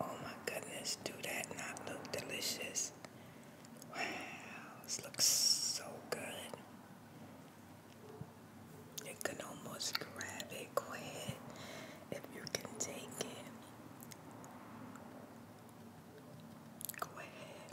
Oh my goodness, do that not look delicious? Wow, this looks so good. You can almost grab it, go ahead, if you can take it. Go ahead.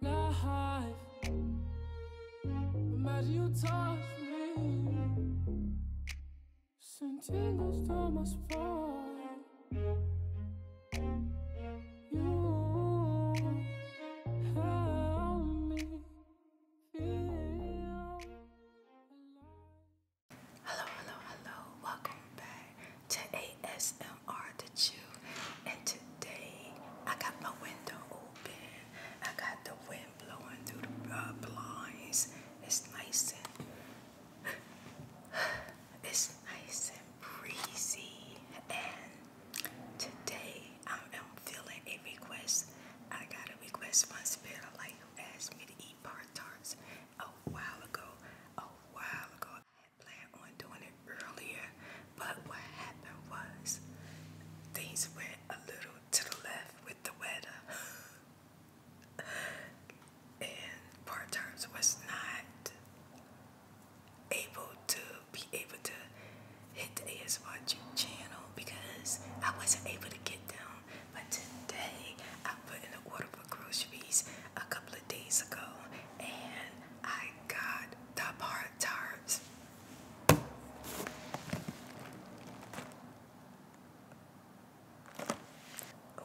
life. Imagine you my spine. You help me feel alive. Hello, hello, hello. Welcome back to ASMR. And today I got my window open. I got the wind blowing through the uh, blinds. It's nice and it's nice and breezy. And today I am feeling a request. I got a request from Spirit of Light who asked me to eat part tarts a while ago. A while ago, planned on doing it earlier, but what happened was things went a little to the left with the weather, and part times was not able to be able to hit the ASY channel because I wasn't able to get down. But today I put in an order for groceries a couple of days ago, and I got the bar tarts.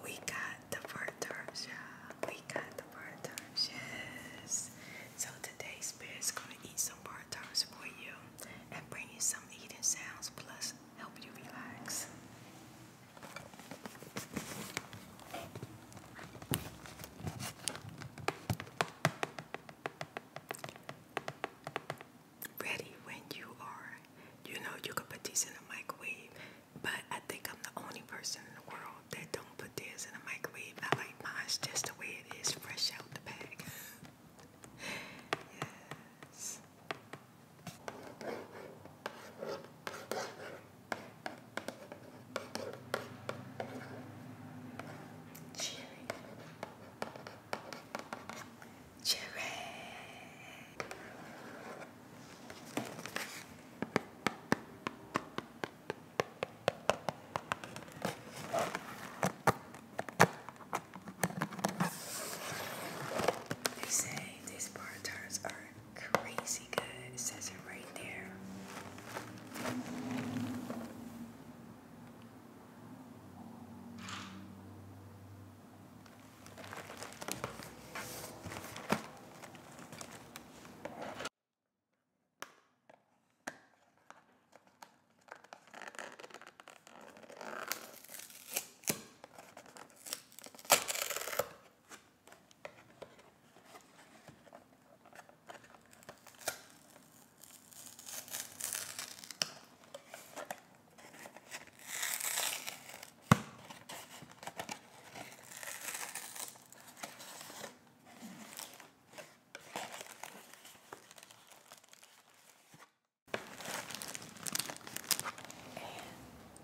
We got the bar tarts, yeah. We got the bar tarts, yes. So today Spirit's gonna eat some part tarts for you and bring you some eating sounds plus help you relax. Ready when you are. You know you could put these in a microwave, but I think I'm the only person in the world that don't put theirs in a microwave. I like mine's just the way it is, fresh out the bag. yes. Cherry. Cherry. They say these bar are crazy good. says it right there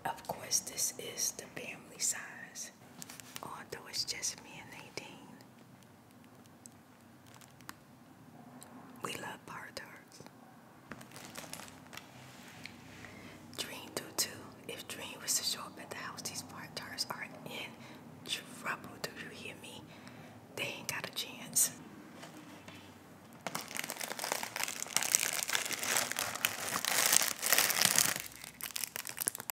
of course, this is the family size this, although it's just me and Nadine. We love parters. Dream do too. If Dream was to show up at the house, these parters are in trouble. Do you hear me? They ain't got a chance.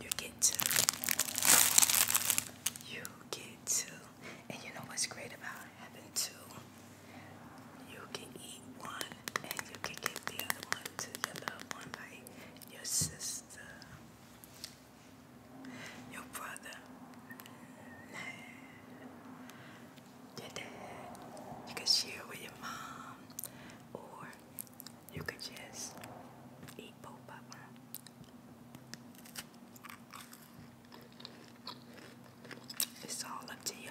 You get to. You get to. And you know what's great about having two? You can eat one and you can give the other one to your loved one, like your sister, your brother, your dad. You could share with your mom, or you could just eat both It's all up to you.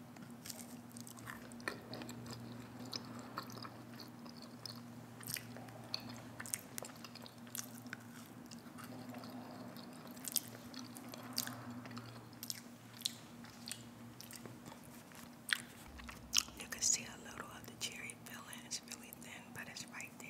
You can see a little of the cherry filling, it's really thin, but it's right there.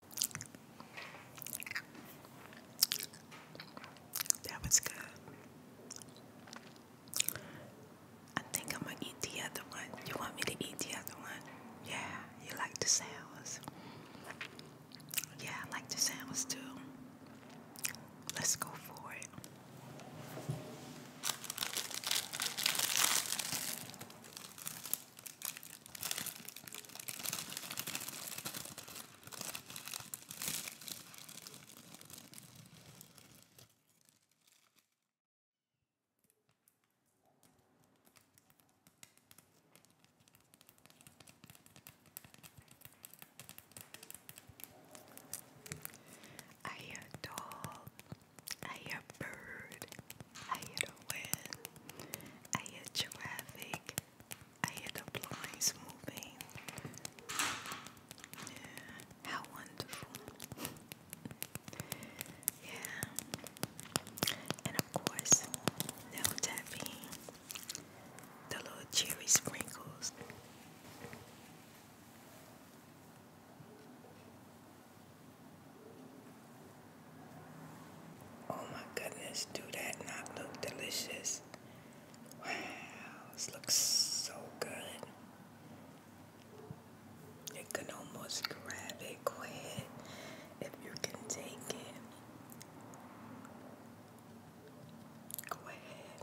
That was good. I think I'm gonna eat the other one. You want me to eat the other one? Yeah, you like the sounds. Yeah, I like the sounds too. Let's go for it. I hear a I hear a I hear wind, I hear traffic, I hear the blinds moving. how wonderful. yeah. And of course, no tapping. The little cherry sprinkles. Oh my goodness, do that not look delicious? Wow, this looks so good. You can almost grab it, go ahead, if you can take it. Go ahead.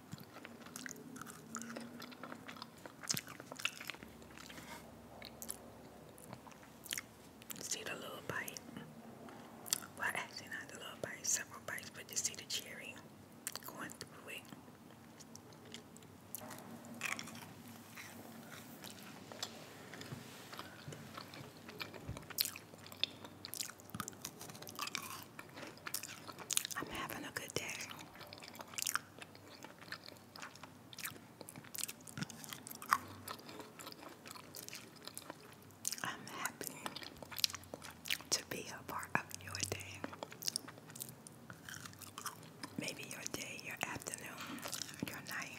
See the little bite. Well, actually, not the little bite, several bites, but you see the cherry going through it. I'm having a good day. I'm happy to be a part of your day. Maybe your day, your afternoon, your night.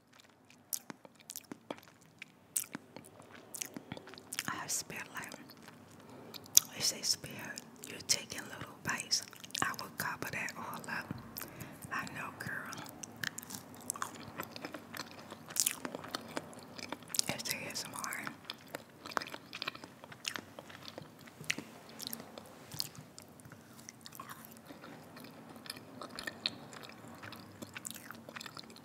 I have spirit like they say spirit, you're taking little bites. I will cover that all up. I know girl. It's ASMR.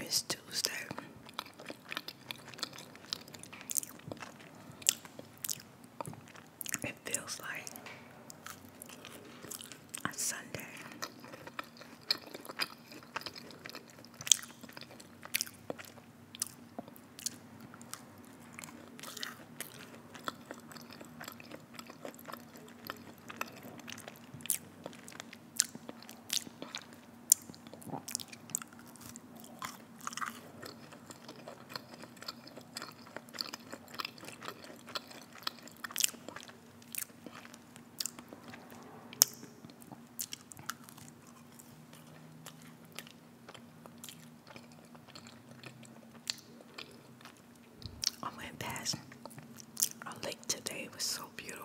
It's Tuesday. It feels like a Sunday. I went past a lake today, it was so beautiful.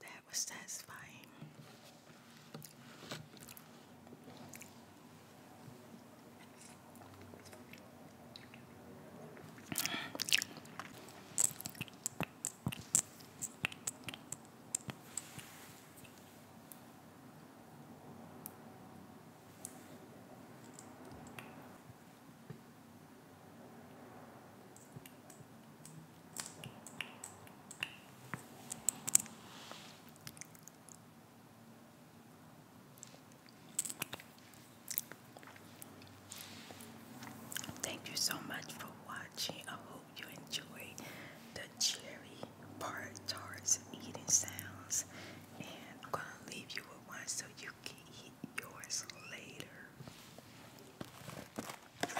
That was satisfying. Thank you so much for watching. I hope you enjoyed the cherry part tarts eating sounds. And I'm gonna leave you with one so you eat yours later. Enjoy.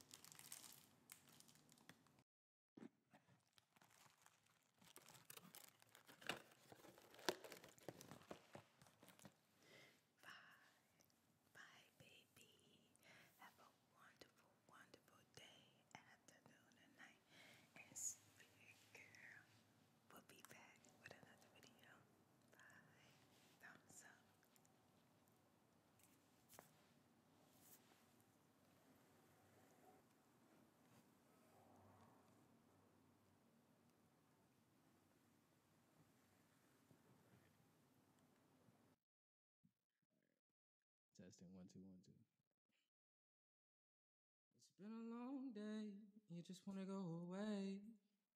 Bye. Bye, baby. Have a wonderful, wonderful day, afternoon, and night. And sweet girl. We'll be back with another video. Bye. Thumbs up. Testing one, two, one, two. It's been a long day. You just want to go away.